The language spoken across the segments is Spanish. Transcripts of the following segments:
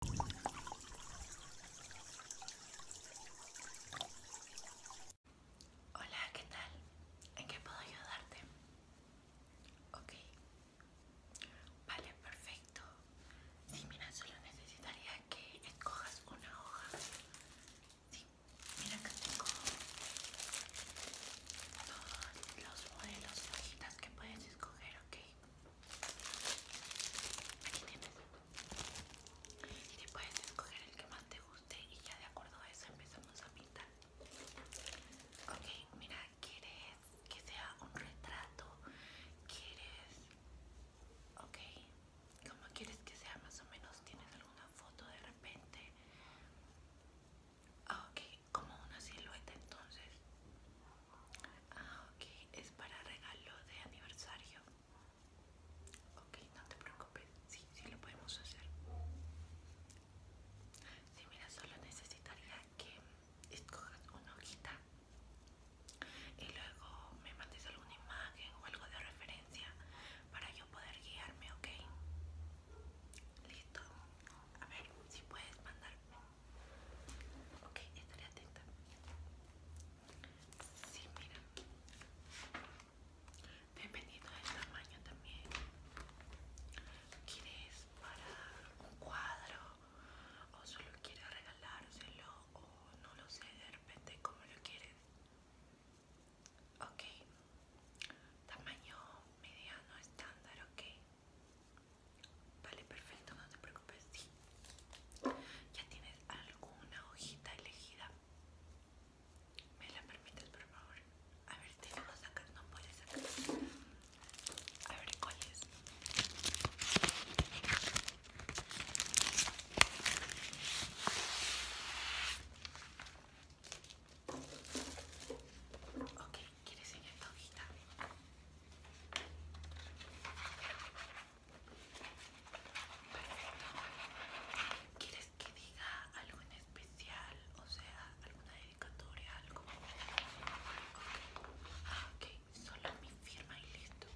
Hola, ¿qué tal? ¿En qué puedo ayudarte? Ok. Vale, perfecto. Sí, mira, solo necesitaría que escojas una hoja. Sí, mira que tengo todos los modelos hojitas que puedes escoger, ok. Aquí tienes. Y te puedes escoger el que más te guste y ya de acuerdo a eso empezamos a pintar. Ok, mira, ¿quieres que sea un retrato? ¿Quieres...? Ok, ¿cómo quieres que sea más o menos? ¿Tienes alguna foto de repente? Ah, ok, como una silueta entonces. Ah, ok, es para regalo de aniversario. Ok, no te preocupes, sí, sí lo podemos hacer. Sí, mira, solo necesitaría que escojas una hojita y luego me mandes alguna imagen o algo de referencia para yo poder guiarme, ok. Listo. A ver si puedes mandarme Ok, estaré atenta. Sí, mira. Dependiendo del tamaño también. ¿Quieres para un cuadro? ¿O solo quieres regalárselo? ¿O no lo sé de repente como lo quieres? Ok. Tamaño mediano estándar, ok. Vale, perfecto, no te preocupes. Sí. ¿Ya tienes alguna hojita elegida? ¿Me la permites, por favor? A ver, si no a sacar, no puedes sacar. A ver, ¿cuál es? Ok, ¿quieres enseñar esta hojita? ¿Quieres que diga algo en especial? O sea, alguna dedicatoria, algo. Ah, ok, solo mi firma y listo.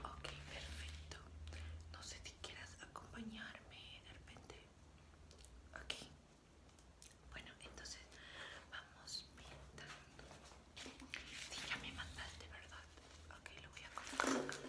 Ok, perfecto. No sé si quieras acompañar de repente. Ok. Bueno, entonces vamos pintando. si ya me de ¿verdad? Ok, lo voy a colocar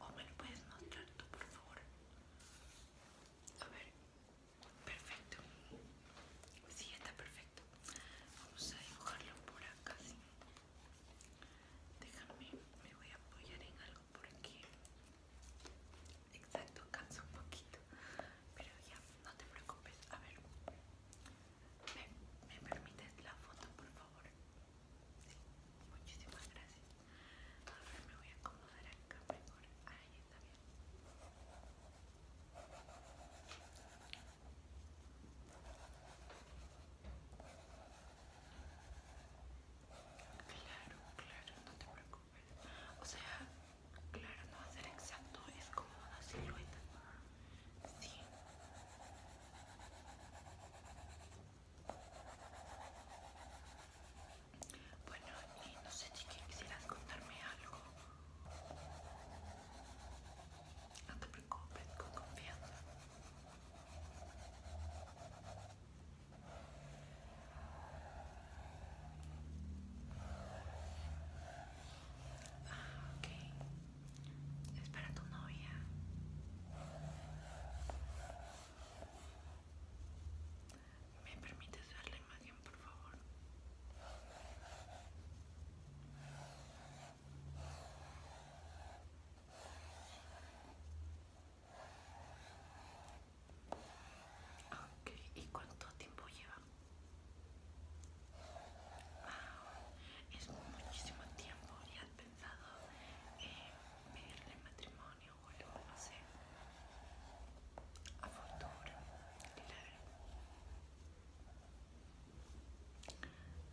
O me lo puedes mostrar tú, por favor. A ver. Perfecto. Sí, está perfecto. Vamos a dibujarlo por acá, sí. Déjame, me voy a apoyar en algo porque exacto canso un poquito, pero ya no te preocupes. A ver, me, permites la foto, por favor. Sí, muchísimas gracias. A ver, me voy a acomodar acá mejor. Ahí está bien. Claro, claro, no te preocupes. O sea, claro, no va a ser exacto, es como una silueta. Sí. Bueno, y no sé, si quisieras contarme algo. No te preocupes, con confianza. Ah, Es para tu novia. ¿Me permites ver la imagen, por favor? ¿y cuánto tiempo lleva? es muchísimo tiempo y has pensado en pedirle matrimonio o algo, no sé. A futuro,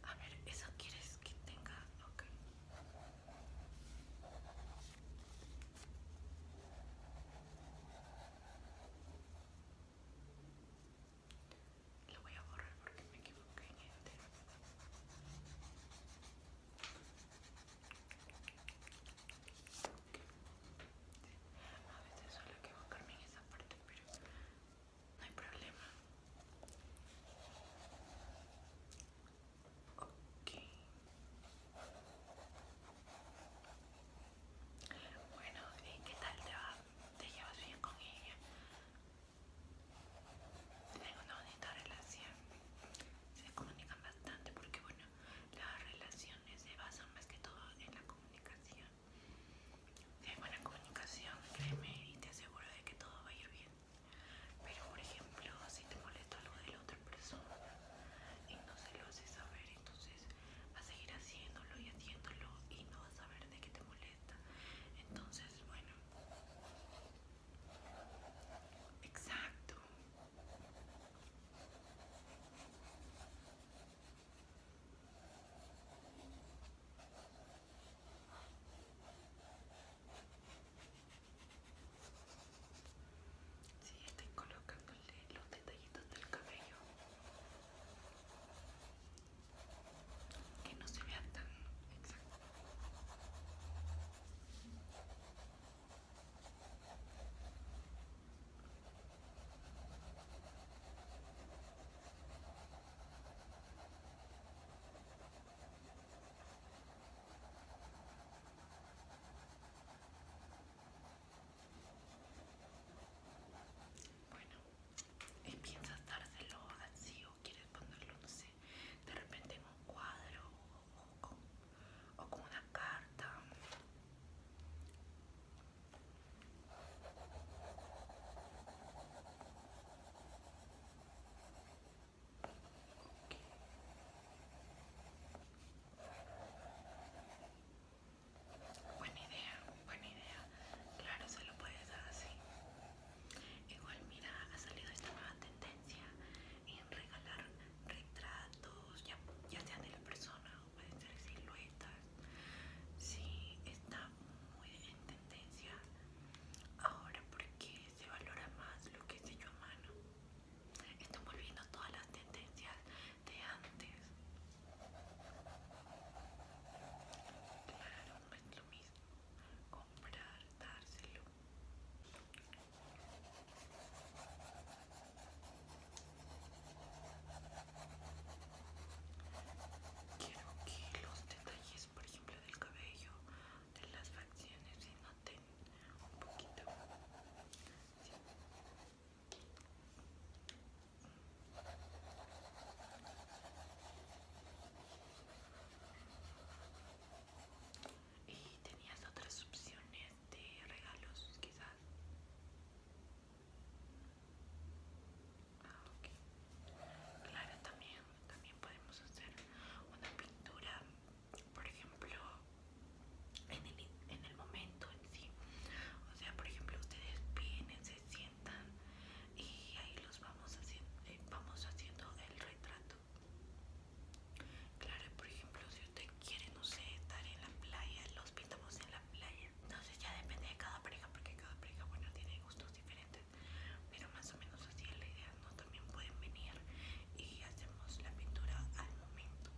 A ver, ¿eso quieres que tenga? Ok. Lo voy a borrar porque me equivoqué en este. A veces suelo equivocarme en esa parte, pero no hay problema. Bueno, ¿y qué tal te va? ¿Te llevas bien con ella? Tengo una bonita relación. Se comunican bastante porque, bueno, las relaciones se basan más que todo en la comunicación. Si buena comunicación, créeme y te aseguro de que todo va a ir bien. Pero por ejemplo, si te molesta algo de la otra persona y no se lo hace saber, entonces vas a seguir haciéndolo y haciéndolo y no vas a saber de qué te molesta. Entonces, bueno. Exacto. Sí, estoy colocándole los detallitos del cabello. Que no se vean tan exacto bueno, ¿y piensas dárselo así o quieres ponerlo, no sé, de repente en un cuadro o con, o con una carta? Buena idea, buena idea. Claro, se lo puede dar así. Igual, mira, ha salido esta nueva tendencia en regalar retratos, ya, sean de la persona o pueden ser siluetas. Sí, está muy en tendencia ahora por qué se valora más lo que es hecho a mano. estamos volviendo todas las tendencias de antes. Claro, no es lo mismo comprar, dárselo. Quiero que los detalles por ejemplo, del cabello, de las facciones, si noten un poquito. Y tenías otras opciones de regalos, quizás. Ah, Claro, también también podemos hacer una pintura, por ejemplo, en el, momento en sí. O sea, por ejemplo, ustedes vienen, se sientan y ahí los vamos haciendo, eh, vamos haciendo el retrato. Claro, por ejemplo, si usted quiere, no sé, estar en la playa, los pintamos en la playa. Entonces ya depende de cada pareja, porque cada pareja, bueno, tiene gustos diferentes pero más o menos así es la idea, ¿no? También pueden venir y hacemos la pintura al momento.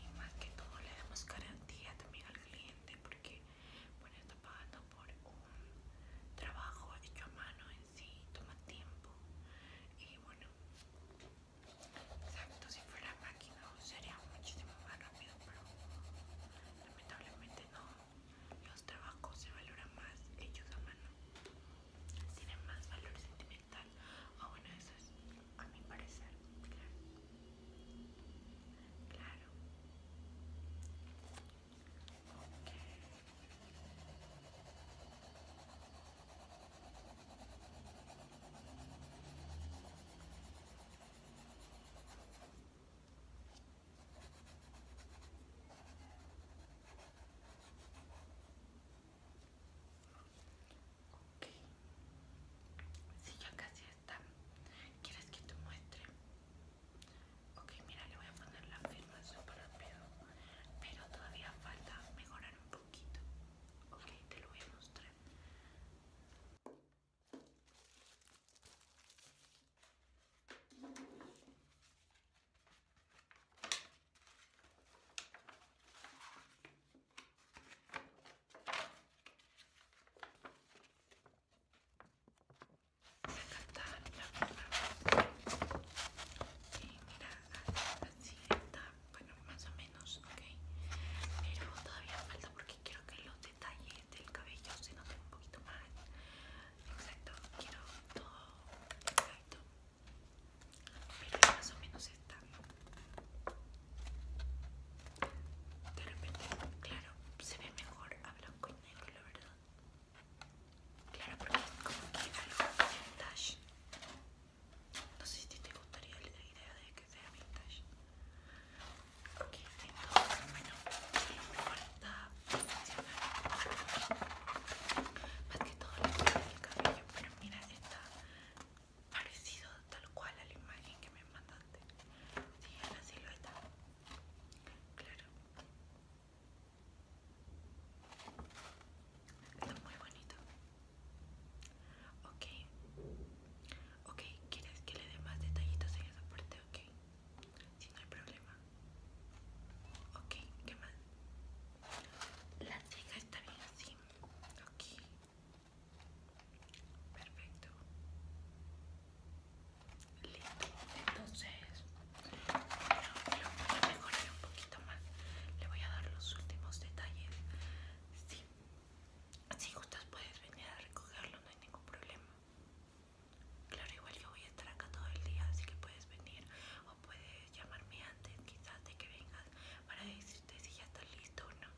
Y más que todo le damos garantía también al cliente porque, bueno, está pagando por un trabajo hecho a mano en sí, toma tiempo y bueno, exacto, si fuera máquina sería muchísimo más pero lamentablemente no. Los trabajos se valoran más hechos a mano. Tienen más valor sentimental. O ah, bueno, eso es a mi parecer. Claro. Claro. Ok, si ya casi está. ¿Quieres que te muestre? Ok, mira, le voy a poner la firma súper rápido, pero todavía falta mejorar un poquito. Ok, te lo voy a mostrar. Me encantaban las formas. Y mira, así está, bueno, más o menos. Pero todavía falta porque quiero que los detalles del cabello se noten un poquito más. Exacto, quiero todo exacto. Pero más o menos está. De repente, claro, se ve mejor a blanco y negro, la verdad. Claro, porque es como que algo vintage. No sé si te gustaría la idea de que sea vintage. Ok, entonces, bueno, me falta más que todo lo cabello, pero mira, está parecido tal cual a la imagen que me mandaste. Sí, la la silueta Claro. Está muy bonito. Ok, ok, ¿quieres que le dé más detallitos en esa parte? Ok, si no hay problema. Ok, ¿qué más? La ceja está bien así. Ok, perfecto. Listo, entonces lo voy a mejorar un poquito más. Le voy a dar los últimos detalles. Sí, si gustas puedes venir a recogerlo, no hay ningún problema. Claro, igual yo voy a estar acá todo el día, así que puedes venir o puedes llamarme antes quizás de que vengas para decirte si ya está listo o no.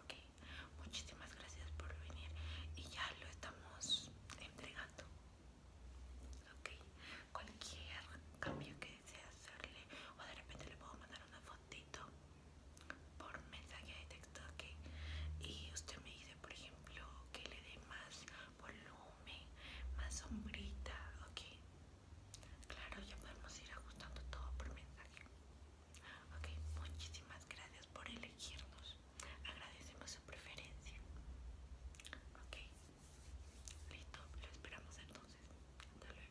Ok, muchísimas gracias por venir y ya lo estamos entregando. Ok, cualquier cambio que desees hacerle o de repente le puedo mandar una foto por mensaje de texto que y usted me dice por ejemplo que le dé más volumen más sombrita ok claro ya podemos ir ajustando todo por mensaje ok muchísimas gracias por elegirnos agradecemos su preferencia ok listo lo esperamos entonces hasta luego